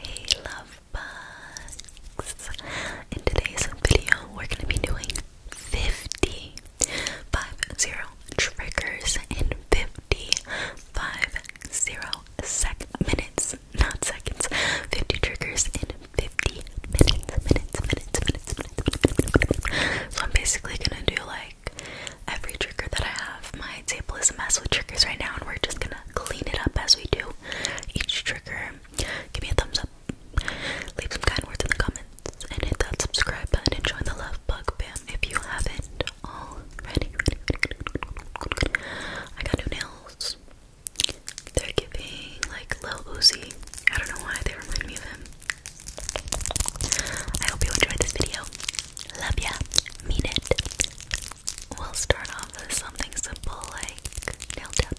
Hey love bugs! In today's video, we're gonna be doing 50, 5 triggers in 50, 5 minutes, not seconds, 50 triggers in 50 minutes, So I'm basically gonna do like every trigger that I have, lightsaber is a mess with triggers right now, and we're just gonna clean it up as we do each trigger. Give me a thumbs up, leave some kind words in the comments, and hit that subscribe button join the love bug bam if you haven't already. I got new nails. They're giving like Lil Uzi. I don't know why they remind me of him. I hope you enjoyed this video. Love ya. Mean it. We'll start off with something simple like nail tip.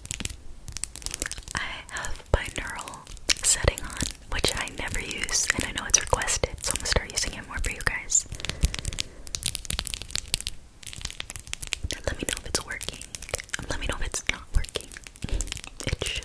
I have binaural setting on, which I never use, and I know it's requested, so I'm gonna start using it more for you guys. let me know if it's working. let me know if it's not working. It should.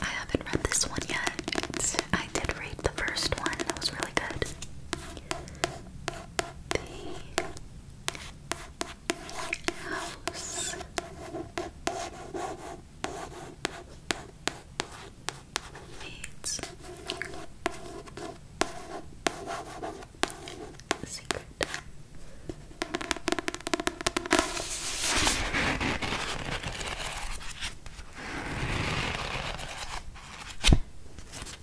I haven't read this one yet. I did read the first one, that was really good the house. It's secret.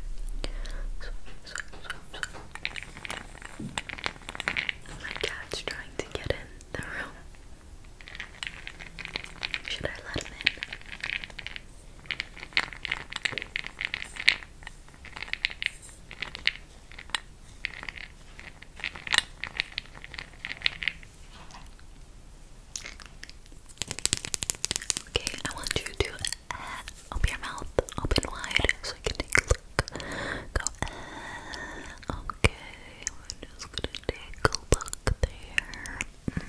My cat's trying to get in the room. Should I let him in? Okay, I want you to Open your mouth, open wide, so I can take a look. Go, eh, okay, we're just gonna take a look there. Mm.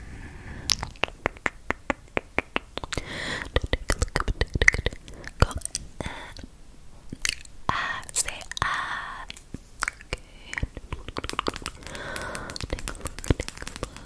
Take a look, go, uh, say ah. Okay, take a look, take a look.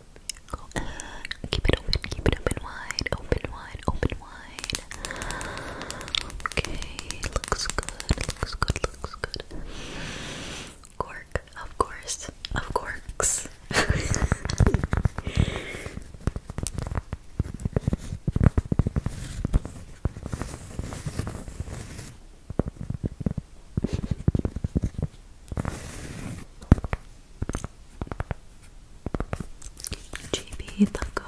vehicle. Keep it open, keep it open wide, open wide, open wide. Okay, looks good, looks good, looks good. Cork, of course, of course. GB the goat.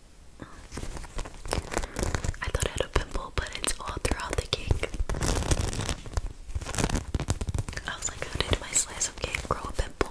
I thought I had a pimple, but it's all throughout the cake. I was like, how did my slice of cake grow a pimple?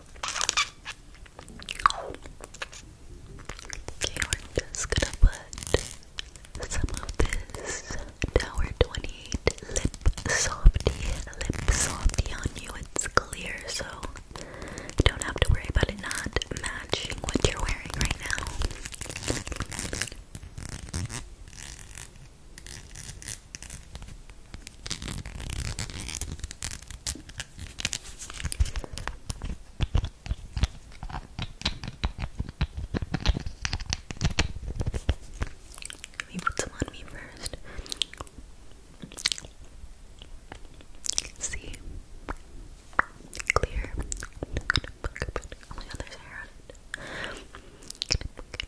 Okay, we just gonna put some of this Tower 28 Lip Softy, Lip Softy on you. It's clear, so you don't have to worry about it not matching what you're wearing right now. Let me put some on me first. See? Clear. On the other side. Good, good.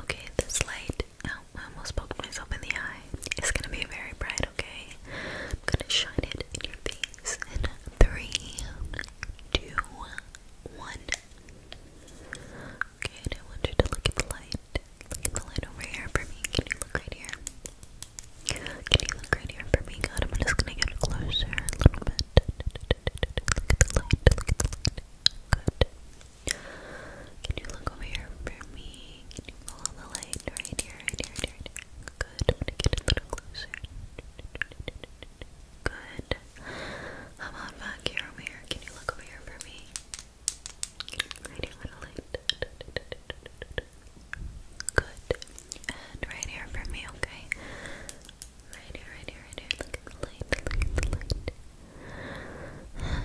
Okay, this light, oh, I almost poked myself in the eye. It's gonna be very bright, okay? I'm gonna shine it in your face in three, two, one. Okay, and I want you to look at the light. Look at the light over here for me. Can you look right here? Can you look right here for me? God, I'm just gonna get closer a little bit. Look at the light, look at the light. Good. Can you look over here for me? follow the light right here, right here, right here? Good. I'm gonna get a little closer. Good. How about back here over here? Can you look over here for me? Right here, little light. Good. And right here for me, okay? Right here, right here, right here. Look at the light, the light, the light.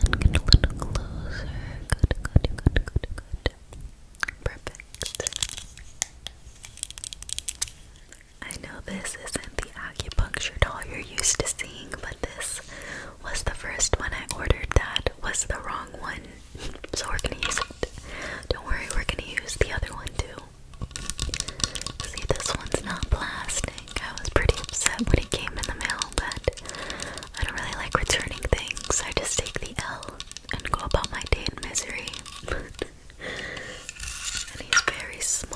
And get a little closer. Good, good, good, good, good. Perfect. I know this isn't the acupuncture doll you're used to seeing, but this was the first one I ordered that was the wrong one. So we're gonna use it. Don't worry, we're gonna use the other one too. See, this one's not plastic. I was pretty upset when it came in the mail, but I don't really like returning things. I just take the L and go about my day in misery. and he's very small.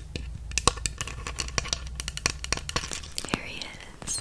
Here he is.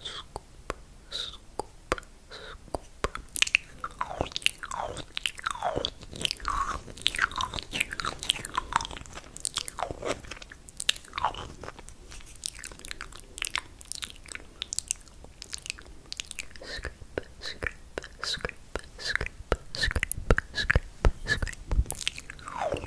scoop, scoop, scoop. Scrape, scrape, scrape, scrape, scrape, scrape.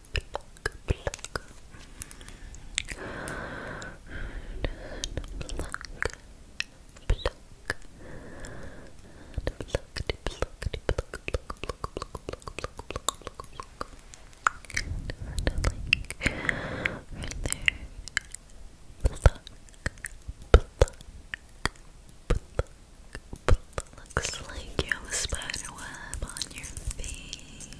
pluck, pluck. And pluck, pluck. And pluck, de pluck, de pluck, pluck, pluck, pluck, pluck, pluck, pluck, pluck, pluck. And like right there. Pluck, pluck, pluck. Looks like you have a spider web on your face.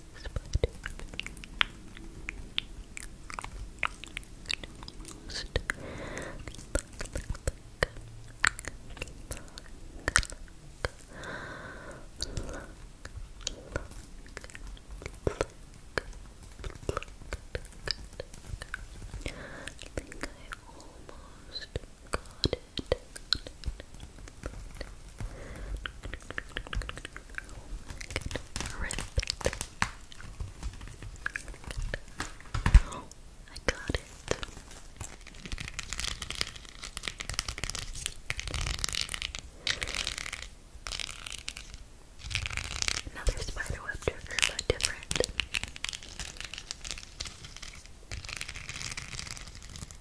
I think I almost got Oh, I got it. Another spiderweb trigger, but different.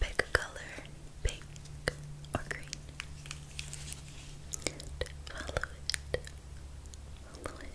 Pick a color, pink or green. Follow it. Follow it.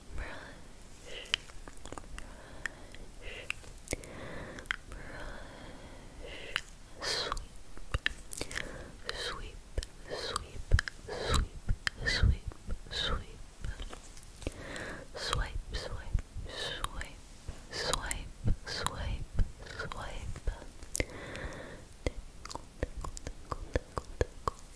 sweep, sweep, sweep, sweep, sweep, swipe, swipe, swipe, swipe, swipe, swipe, tickle, tickle, tickle, tickle, tickle,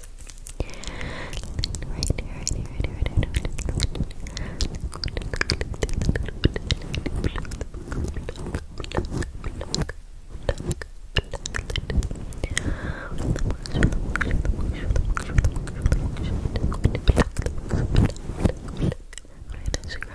relax. Right here, right here, right here, right here. Right, scratch my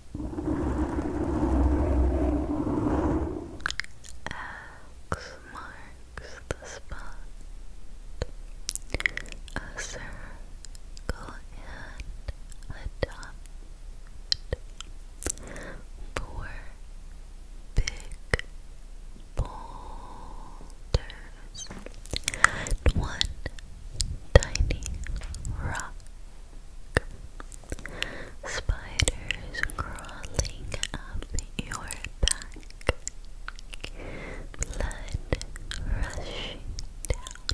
X marks the spot. A circle and a dot. Four big boulders one tiny rock. Spiders crawling up your back. Blood rushing down.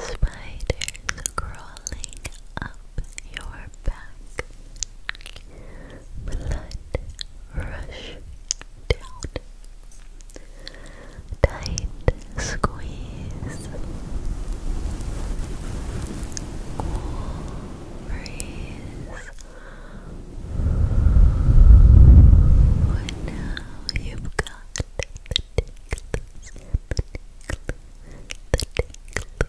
Spiders crawling up your back. Blood rushing down. Tight squeeze, cool And now you've got the tickles, the tickles, the tickles, the tickles.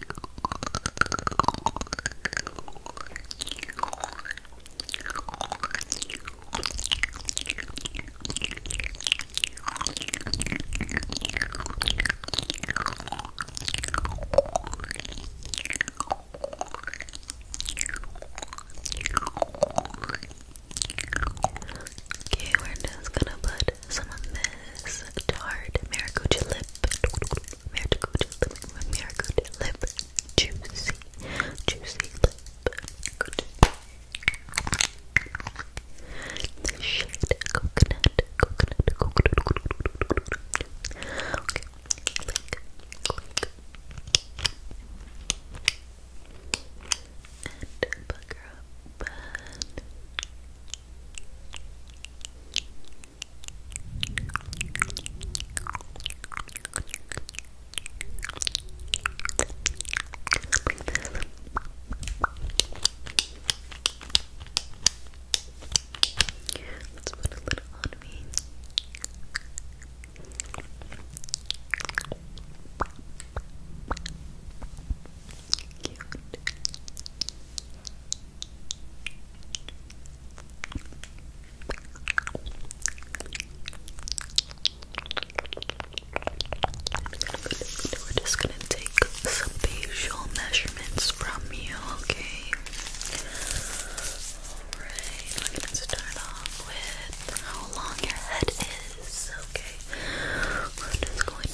Okay, we're just gonna put some of this tart maracuja lip Marigold lip, marigold lip, juicy, juicy lip, good. The shade coconut, coconut, coconut, coconut. Okay, click, click. And bugger up. Let's put a little on me. Cute. We're just gonna take some facial measurements from you, okay? Alright, we're gonna start off with how long your head is, okay? We're just going to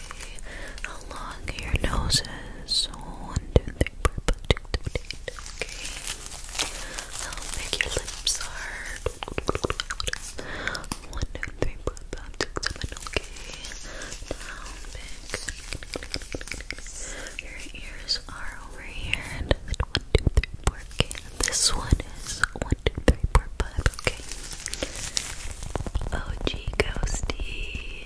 along your noses. One, two, three, four, five, six, seven, eight. Okay. How big your lips are. One, two, three, four, five, six, seven, okay. How big your ears are over here. And this one is one, two, three, four, five, okay. Okay. OG Ghosty.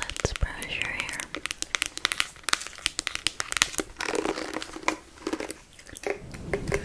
Let's brush your hair. Brush, brush, brush.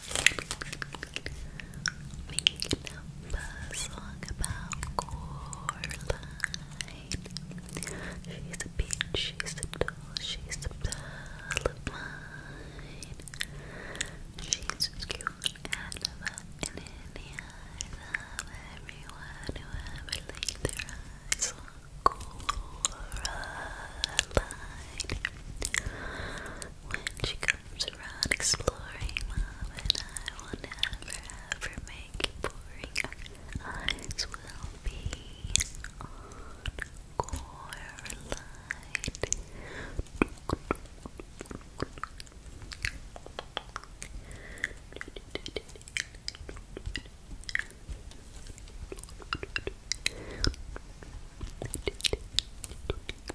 Make up a song about Coraline. She's a bitch, she's a doll, she's a pal She's as cute and fun and in the eyes of everyone who ever laid their eyes on Coraline when she comes around exploring love and I will never ever make it boring. Our eyes will be on core light.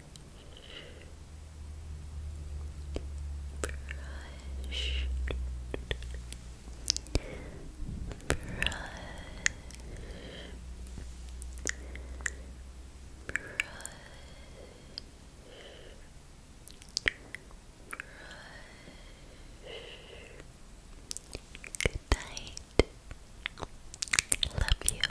brush, brush, brush. Good night. Love you.